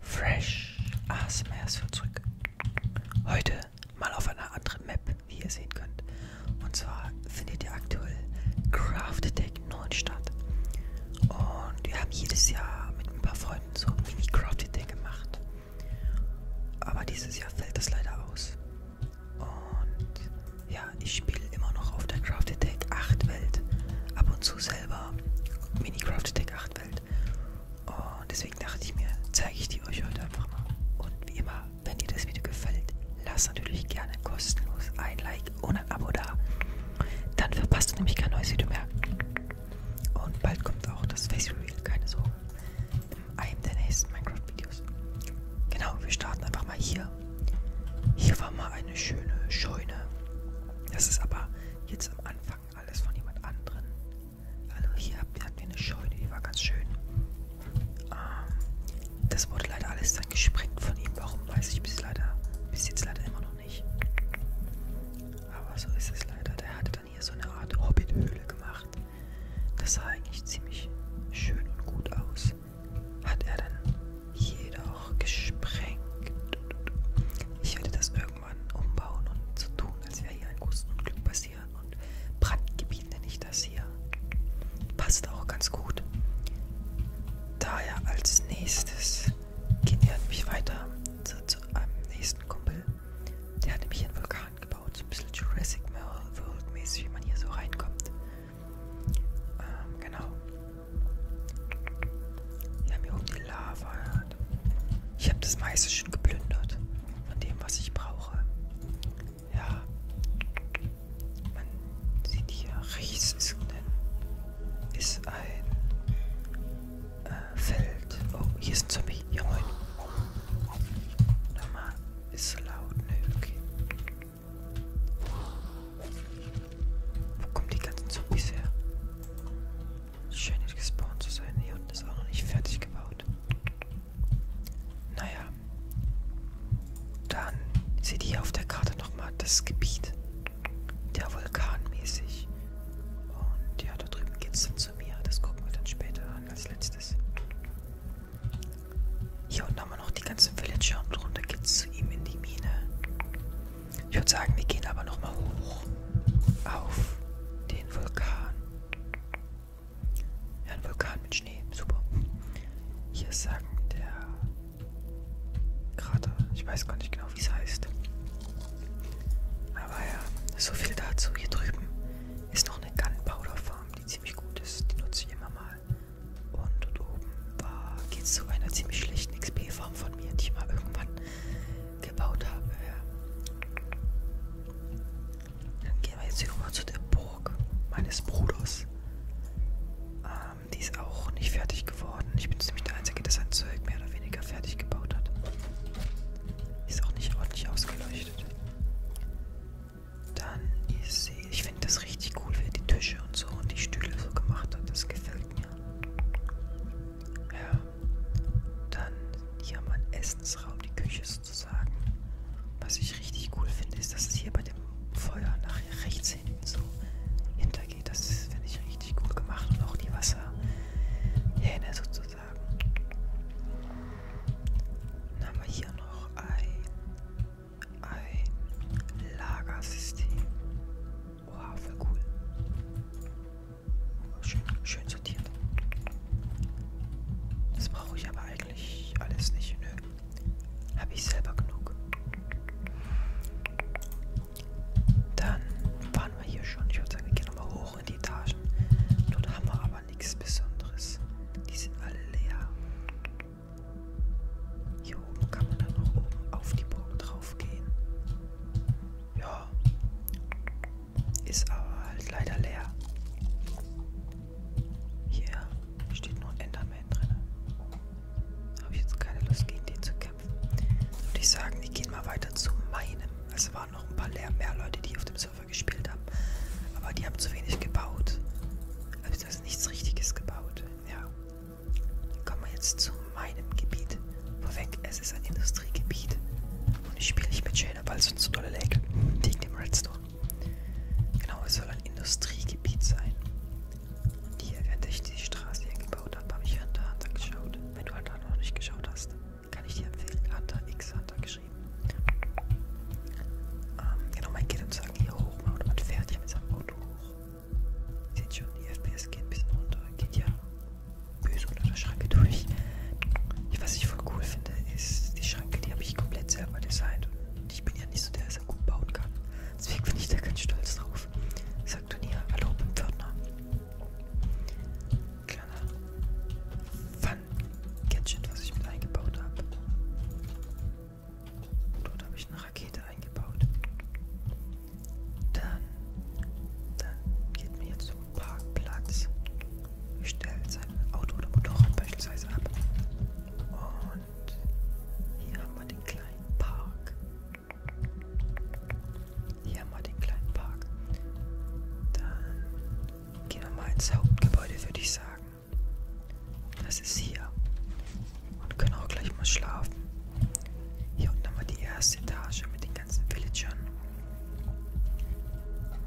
Fresh ASMR ist für zurück. Heute mal auf einer anderen Map, wie ihr sehen könnt. Und zwar findet ihr aktuell Craft Attack 9 statt. Und wir haben jedes Jahr mit ein paar Freunden so ein Mini Craft Attack gemacht. Aber dieses Jahr fällt das leider aus. Und ja, ich spiele immer noch auf der Craft Attack 8 Welt. Ab und zu selber Mini Craft Attack 8 Umwelt. Und deswegen dachte ich mir, zeige ich die euch heute einfach mal. Und wie immer, wenn dir das Video gefällt, lasst natürlich gerne kostenlos ein Like und ein Abo da. Dann verpasst du nämlich kein neues Video mehr. Und bald kommt auch das Face Reveal, keine Sorge. In einem der nächsten Minecraft-Videos. Genau, wir starten einfach mal hier. Hier war mal eine schöne Scheune. Das ist aber jetzt am Anfang alles von jemand anderen. Also hier hatten wir eine Scheune, die war ganz schön. Ähm, das wurde leider alles dann gesprengt von ihm. Warum weiß ich bis leider, bis jetzt leider immer noch nicht. Aber so ist es leider. Der hatte dann hier so eine Art Hobbithöhle gemacht. Das sah eigentlich ziemlich schön und gut aus. Hat er dann jedoch gesprengt. Ich hätte das irgendwie irgendwann umbauen und zu so tun, als wäre hier ein großes Unglück passiert. Und Brandgebiet nenne ich das hier. Passt auch ganz gut. Daher als nächstes gehen wir nämlich weiter zu, zu, einem nächsten Kumpel. Der hat nämlich einen Vulkan gebaut. So ein bisschen Jurassic World mäßig, wie man hier so reinkommt. Ähm, genau. Wir haben hier oben die Lava. Ich habe das meiste schon geplündert. Von dem, was ich brauche. Ja. Man sieht hier, rechts ist ein, ist ein äh, Feld. Oh, hier ist ein Zombie. Ja, moin. Nochmal. Ist so laut. Ne, okay. Wo kommen die ganzen Zombies her? Schön nicht gespawnt zu sein. Hier unten ist auch noch nicht fertig gebaut. Naja. Dann seht ihr auf der Karte nochmal das Gebiet. Der Vulkan mäßig. Und ja, da drüben geht's dann zu mir. Das gucken wir dann später an als letztes. Hier unten haben wir noch die ganzen Villager und runter geht's zu ihm in die Mine. Ich würde sagen, wir gehen aber nochmal hoch auf den Vulkan. Ja, ein Vulkan mit Schnee. Super. Hier ist sagen der Krater. Ich weiß gar nicht genau, wie es heißt. Aber ja, so viel dazu. Hier drüben ist noch eine Gunpowder Farm, die ziemlich gut ist. Die nutze ich immer mal. Und dort oben geht es zu einer ziemlich schlechten XP-Farm von mir, die ich mal irgendwann gebaut habe. Ja. Dann gehen wir jetzt hier rüber zu der Burg meines Bruders. Ähm, die ist auch nicht fertig geworden. Ich bin ziemlich der Einzige, der sein Zeug mehr oder weniger fertig gebaut hat. Ist auch nicht ordentlich ausgeleuchtet. Dann ist sie. Ich finde das richtig cool, wie er die Tische und so und die Stühle so gemacht hat. Das gefällt mir. Ja. Dann hier haben wir einen Essensraum, die Küche sozusagen. Was ich richtig cool finde, ist, dass es hier bei dem Feuer nach rechts hinten so hintergeht. Das finde ich richtig gut gemacht. Und auch die Wasserhähne sozusagen. Dann haben wir hier noch ein, ein Lagersystem. Wow, voll cool. Schön, schön sortiert. Das brauche ich aber eigentlich alles nicht. Nö. Habe ich selber genug. Dann waren wir hier schon. Ich würde sagen, wir gehen nochmal hoch in die Etagen. Dort haben wir aber nichts Besonderes. Die sind alle leer. Hier oben kann man dann noch oben auf die Burg drauf gehen. Ja. Ist aber halt leider leer. Hier steht nur Enderman drin. Habe ich jetzt keine Lust gegen den zu kämpfen. Würde ich sagen, wir gehen mal weiter zu meinem. Es waren noch ein paar mehr Leute, die auf dem Server gespielt haben. Aber die haben zu wenig gebaut. Also da ist nichts richtiges gebaut. Ja. Kommen wir jetzt zu meinem Gebiet. Vorweg, es ist ein Industriegebiet. Und ich spiele nicht mit Shader, weil sonst zu dolle Lake liegt im Redstone. Genau, es soll ein Industriegebiet sein. Und hier, während ich die Straße hier gebaut habe, habe ich Hunter Hunter geschaut. Wenn du Hunter noch nicht geschaut hast, kann ich dir empfehlen. Hunter X Hunter geschrieben. Ähm, genau, mein Kind und sagen, hier hoch, mein Auto fährt hier mit seinem Auto hoch. Seht schon, die FPS geht ein bisschen runter. Geht ja böse unter der Schranke durch. Was ich voll cool finde, ist die Schranke, die habe ich komplett selber designt. Und ich bin ja nicht so der, der gut bauen kann. Deswegen bin ich da ganz stolz drauf. Sagt Turnier, hallo beim Pförtner. Kleiner Fun-Gadget, was ich mit eingebaut habe. Dort habe ich eine Rakete eingebaut. Dann, dann geht man jetzt zum Parkplatz, stellt sein Auto oder Motorrad beispielsweise ab. Und hier haben wir den kleinen Park. Hier haben wir den kleinen Park. Dann gehen wir mal ins Hauptgebäude, würde ich sagen. Das ist hier und können auch gleich mal schlafen. Hier unten haben wir die erste Etage mit den ganzen Villagern.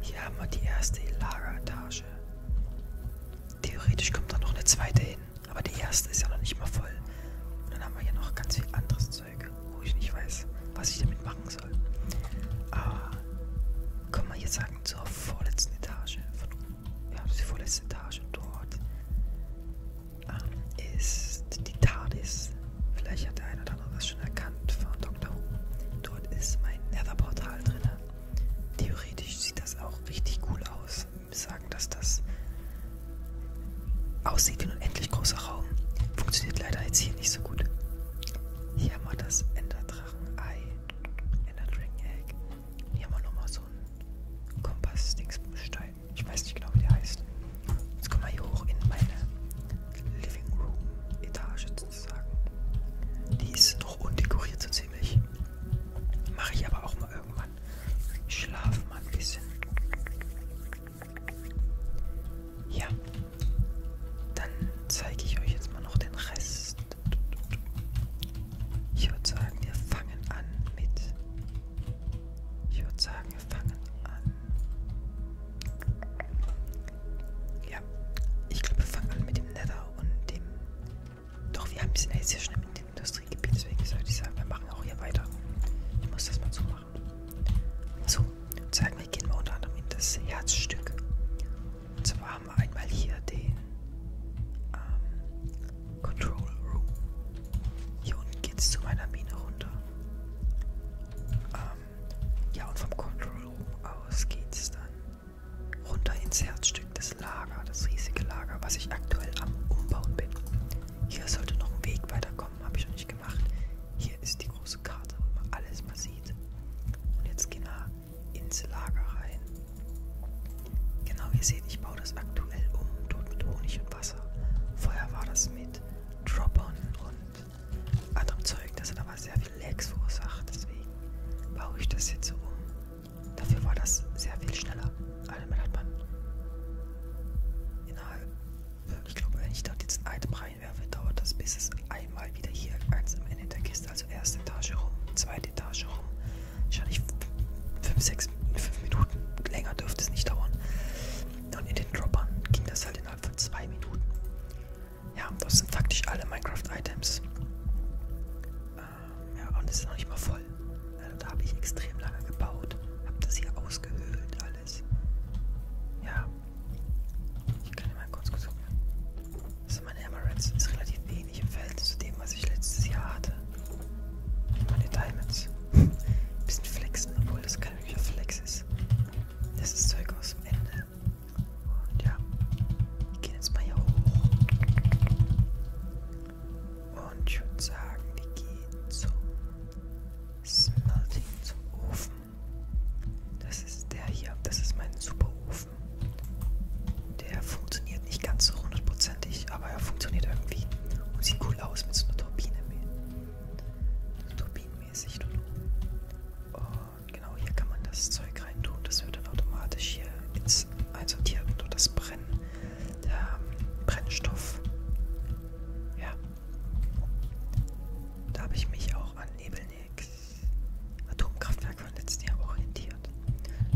Hier haben wir die erste Lageretage. Theoretisch kommt da noch eine zweite hin, aber die erste ist ja noch nicht mal voll. Und dann haben wir hier noch ganz viel anderes Zeug, wo ich nicht weiß, was ich damit machen soll. Aber können wir jetzt sagen zur vorletzten Etage. Von, ja, die vorletzte Etage dort ähm, ist die TARDIS. Vielleicht hat der eine oder andere was schon erkannt von Dr. Who. Dort ist mein Nether-Portal drin. Theoretisch sieht das auch richtig cool aus. Wir sagen, dass das aussieht wie ein unendlich großer Raum. Funktioniert leider jetzt hier nicht so gut. Hier haben wir das Enderdrachen-Ei, Ender-Dragon-Egg. Hier haben wir nochmal so einen Kompass-Dingsbumstein. Ich weiß nicht genau, wie der heißt. Jetzt kommen wir hier hoch in meine Living Room Etage sozusagen. Die ist noch undekoriert so ziemlich. Mache ich aber auch mal irgendwann. Ich schlafe mal ein bisschen. Ja. Dann zeige ich euch jetzt mal noch den Rest. Ich würde sagen, wir fangen an mit ich würde sagen, wir fangen an. Ja, ich glaube, wir fangen an mit dem Nether und dem... Doch, wir haben es ja schon im Industriegebiet, deswegen sollte ich sagen, wir machen auch hier weiter. Ich muss das mal so machen. So, und sagen wir, gehen wir unter anderem in das Herzstück. Und zwar haben wir einmal hier den ähm, Control Room. Hier unten geht's zu meiner Mine runter. Ähm, ja, und vom Control Room aus geht's dann runter ins Herzstück des Lagers, das riesige Lager, was ich aktuell am Umbauen bin. Hier sollte noch ein Weg weiterkommen, habe ich noch nicht gemacht. Hier ist die große Karte, wo man alles mal sieht. Und jetzt gehen wir ins Lager rein. Genau, ihr seht, ich baue das aktuell um. Tod mit Honig und Wasser. Vorher war das mit Drop-On und anderem Zeug. Das hat aber sehr viel Lags verursacht. Deswegen baue ich das jetzt so um. Dafür war das sehr viel schneller. Also damit hat man innerhalb, ich glaube, wenn ich dort jetzt ein Item reinwerfe, dauert das bis es einmal wieder hier als am Ende der Kiste, also erste Etage rum, zweite Etage rum, wahrscheinlich 5, 6, 5 Minuten. Länger dürfte es nicht dauern. Und in den Droppern ging das halt innerhalb von 2 Minuten. Ja, das sind faktisch alle Minecraft-Items. Ähm, ja, und es ist noch nicht mal voll. Also da habe ich extrem lange gebaut. Habe das hier ausgehöhlt, alles. Ja. Ich kann ja mal kurz gucken. Das also sind meine Emeralds. Ist relativ wenig im Verhältnis zu dem, was ich letztes Jahr hatte. Meine Diamonds. Bisschen flexen, obwohl das kein wirklicher Flex ist. Das ist Zeug aus dem Ende. Und ja, wir gehen jetzt mal hier hoch. Und ich würde sagen, wir gehen zum Smelting, zum Ofen. Das ist der hier, das ist mein Superofen. Der funktioniert nicht ganz so hundertprozentig, aber er funktioniert irgendwie und sieht cool aus mit so einer Turbine. So turbinenmäßig. Und genau hier kann man das Zeug rein tun. Das wird dann automatisch hier ins einsortiert und das Brennen, der ähm, Brennstoff. Ja. Da habe ich mich auch an Nebelnix Atomkraftwerk von letzten Jahr orientiert.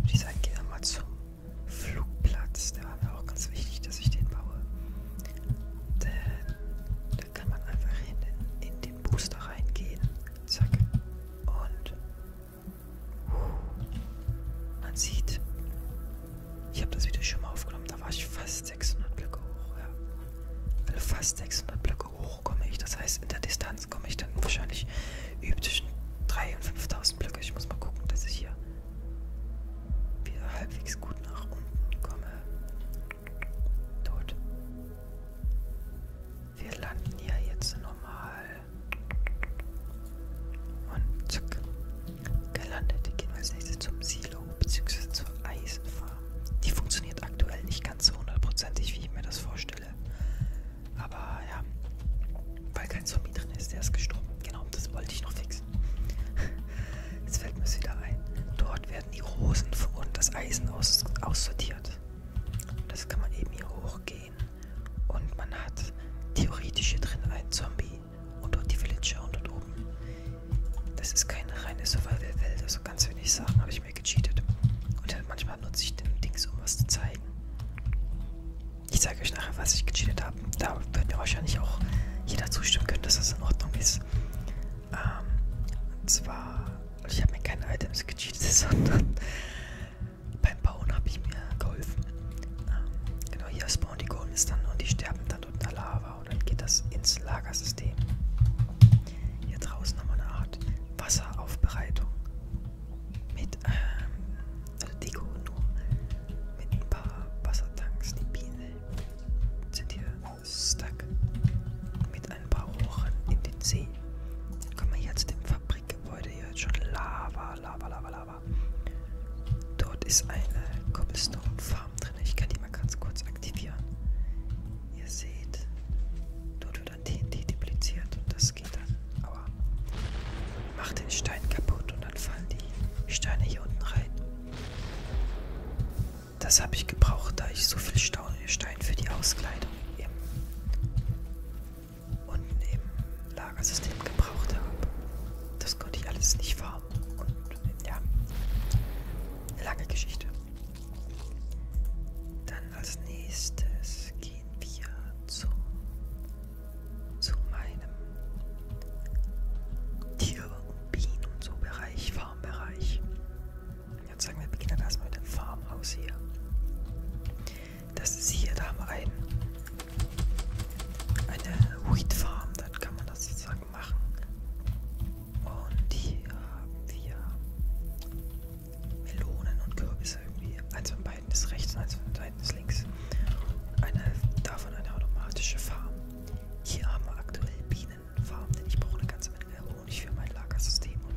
Ich sage, geh mal zum Flugplatz, der war mir auch ganz wichtig, dass ich den baue. Denn da kann man einfach hin in, in den Booster reingehen. Zack. Und uh, man sieht, ich habe das Video schon mal aufgenommen, da war ich fast 600 Blöcke hoch. Ja. Also fast 600 Blöcke hoch komme ich. Das heißt, in der Distanz komme ich dann wahrscheinlich üb zwischen 3.000 und 5.000 Blöcke. Ich muss mal gucken, dass ich hier wieder halbwegs gut nach unten komme. Tot. Wir landen ja jetzt normal. Und zack. Gelandet. Gehen wir als nächstes zum Silo bzw. zur Eisenfarm. Die funktioniert aktuell nicht ganz so hundertprozentig, wie ich mir das vorstelle. Aber ja, weil kein Zombie drin ist, der ist gestorben. Genau, das wollte ich noch fixen. Jetzt fällt mir es wieder ein. Dort werden die Rosen und das Eisen aus, aussortiert. Das kann man eben hier hochgehen. Und man hat theoretisch hier drin einen Zombie und dort die Villager und dort oben. Das ist keine reine Survival-Welt, also ganz wenig Sachen habe ich mir gecheatet. Und halt manchmal nutze ich den Dings, um was zu zeigen. Ich zeige euch nachher, was ich gecheatet habe. Da wird mir wahrscheinlich auch jeder zustimmen können, dass das in Ordnung ist. Ähm, und zwar, ich habe mir keine Items gecheatet, sondern beim Bauen habe ich mir geholfen. Ähm, genau, hier spawnen die Golems dann und die sterben dann unter Lava und dann geht das ins Lagersystem. Hier draußen haben wir eine Art Wasseraufbereitung mit, ähm, also Deko nur mit ein paar Wassertanks. Die Bienen sind hier stuck mit ein paar Rohren in den See. Dann kommen wir hier zu dem Fabrikgebäude. Hier ist schon Lava, Lava, Lava, Lava. Dort ist eine Cobblestone Farm drin. Ich kann die mal ganz kurz aktivieren. Ihr seht, dort wird ein TNT dupliziert und das das geht dann. Aber mach den Stein kaputt und dann fallen die Steine hier unten rein. Das habe ich gebraucht, da ich so viel Stein für die Auskleidung im, unten im Lagersystem gebraucht habe. Das konnte ich alles nicht farmen. Und ja, eine lange Geschichte. Dann als nächstes gehen wir zum zu meinem Tier- und Bienen- und so Bereich, Farmbereich. Jetzt sagen wir, beginnen erstmal mit dem Farmhaus hier. Das ist hier, da haben wir ein, eine Wheat Farm, dann kann man das sozusagen machen. Und hier haben wir Melonen und Kürbisse irgendwie. Also bei Seiten des rechts und eins von den Seiten des links. Eine, davon eine automatische Farm. Hier haben wir aktuell Bienenfarm, denn ich brauche eine ganze Menge Honig für mein Lagersystem. Und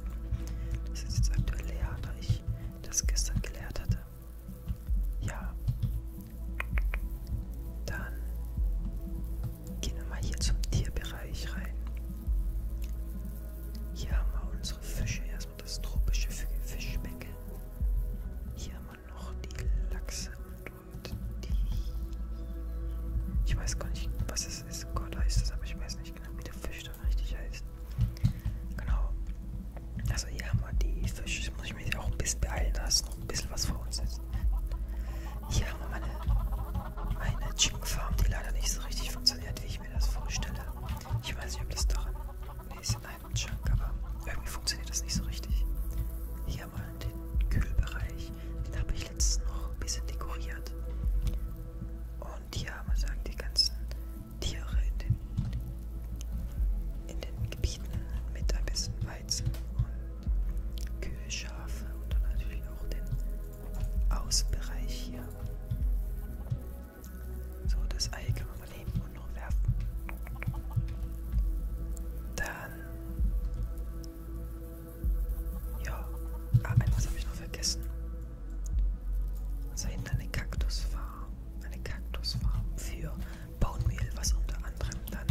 das ist jetzt aktuell leer, da ich das gestern geleert hatte. Ja. Dann gehen wir mal hier zum Tierbereich rein. Hier haben wir unsere Fische erstmal und das tropische Fischbecken. Hier haben wir noch die Lachse und, und die. Ich weiß gar nicht, was es ist. Gott heißt es, aber ich weiß nicht genau, wie der Fisch dann richtig heißt. Genau. Also hier haben wir die Fische. Das muss ich mich auch ein bisschen beeilen, da ist noch ein bisschen was vor uns jetzt. Hier haben wir meine, meine Chicken Farm, die leider nicht so richtig funktioniert, wie ich mir das vorstelle. Ich weiß nicht, ob das daran. Nee, ist Leinwandschrank, aber irgendwie funktioniert das nicht so richtig. Hier mal den Kühlbereich, den habe ich letztens noch ein bisschen dekoriert. Und hier haben wir sagen, die ganzen Tiere in den, in den Gebieten mit ein bisschen Weizen und Kühe, Schafe und dann natürlich auch den Außenbereich hier. So, das Ei kann man mal nehmen und noch werfen. Dann. Ja. Ah, etwas habe ich noch vergessen. Also hinten eine Kaktusfarm. Eine Kaktusfarm für Baummehl, was unter anderem dann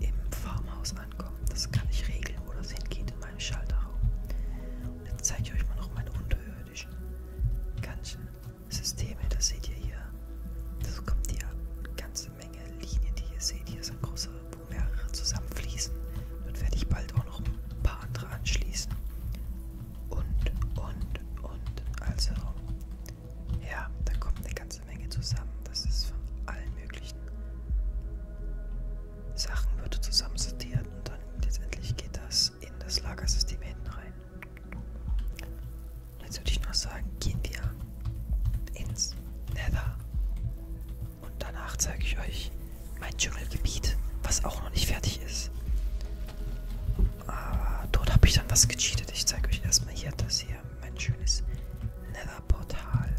im Farmhaus ankommt. Das kann ich regeln, wo das hingeht in meinem Schalterraum. Jetzt zeige ich euch mal noch meine unterirdischen ganzen Systeme, das seht ihr hier. Das kommt die ganze Menge Linien, die ihr seht. Hier sind große, wo mehrere zusammenfließen. Dort werde ich bald auch noch ein paar andere anschließen. Und, und, und. Also, ja, da kommt eine ganze Menge zusammen. Das ist von allen möglichen Sachen, wird zusammen sortiert und dann letztendlich geht das in das Lagersystem hinten rein. Jetzt würde ich noch sagen, gehen wir ins Nether. Und danach zeige ich euch mein Dschungelgebiet, was auch noch nicht fertig ist. Aber ah, dort habe ich dann was gecheatet. Ich zeige euch erstmal hier das hier, mein schönes Nether-Portal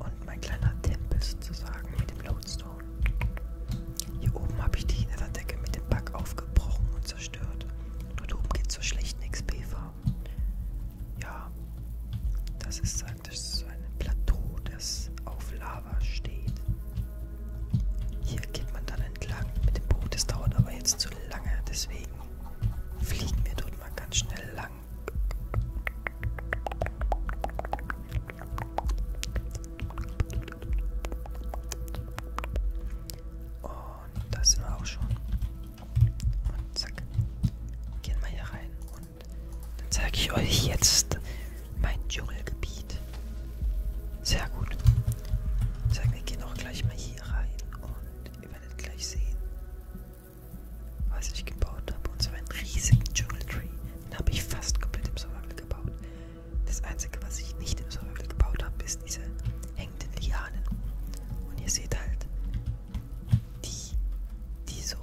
und mein kleiner Tempel sozusagen mit dem Lodestone. Hier oben habe ich die Neverdecke mit dem Back aufgebrochen und zerstört. Dort oben geht zur schlechten XP farm Ja, das ist praktisch so ein Plateau, das auf Lava steht. Hier geht man dann entlang mit dem Boot. Das dauert aber jetzt zu lange, deswegen fliegen wir dort mal ganz schnell lang. Und da sind wir auch schon. Und zack. Gehen wir hier rein. Und dann zeige ich euch jetzt mein Dschungelgebiet. Sehr gut. Ich sage, wir gehen auch gleich mal hier rein. Und ihr werdet gleich sehen, was ich gebaut habe. Und zwar einen riesigen Dschungeltree. Den habe ich fast komplett im Survival gebaut. Das einzige, was ich nicht im Survival gebaut habe, ist diese hängenden Lianen. Und ihr seht halt, die, die so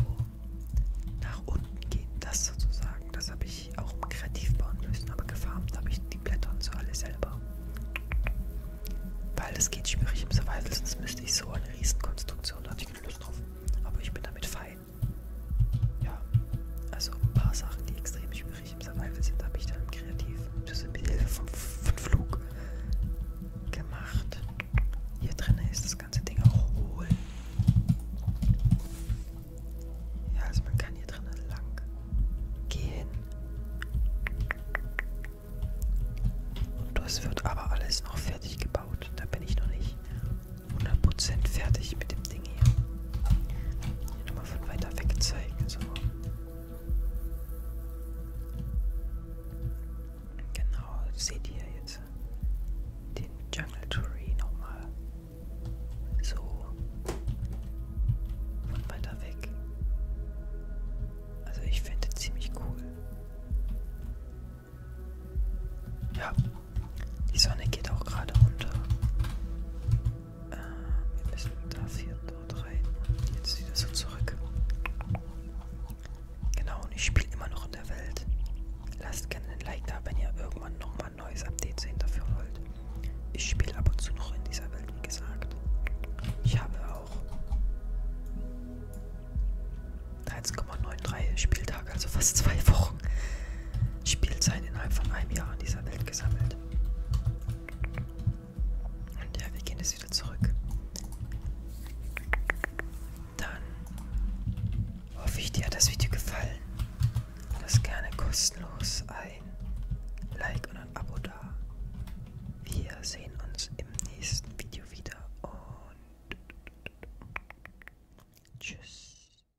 nach unten gehen, das sozusagen. Das habe ich auch kreativ bauen müssen, aber gefarmt habe ich die Blätter und so alle selber. Weil das geht schwierig im Survival, sonst müsste ich so eine Riesenkonstruktion, da hatte ich keine Lust drauf. Aber ich bin damit fein ja, also ein paar Sachen, die extrem schwierig im Survival sind, habe ich dann kreativ mit Hilfe vom, vom Flug gemacht. Hier drinnen ist das ganze Ding auch hohl. Ja, also man kann hier drinnen lang gehen. Und das wird aber alles noch fertig gebaut. Da bin ich noch nicht. 100% fertig mit dem Ding hier. hier nochmal von weiter weg zeigen. So. Genau, seht ihr jetzt den Jungle Tree nochmal. So. Von weiter weg. Also ich finde ziemlich cool. Ja, die Sonne geht auch gerade runter. Äh, wir müssen dafür dort rein und jetzt wieder so zurück. Genau, und ich spiele immer noch in der Welt. Lasst gerne ein Like da, wenn ihr irgendwann nochmal ein neues Update sehen dafür wollt. Ich spiele ab und zu noch in dieser Welt, wie gesagt. Ich habe auch 13,93 Spieltage, also fast zwei Wochen. Spielzeit innerhalb von einem Jahr in dieser Welt gesammelt. Und ja, wir gehen jetzt wieder zurück. Dann hoffe ich, dir hat das Video gefallen. Lass gerne kostenlos ein Like und ein Abo da. Wir sehen uns im nächsten Video wieder und tschüss.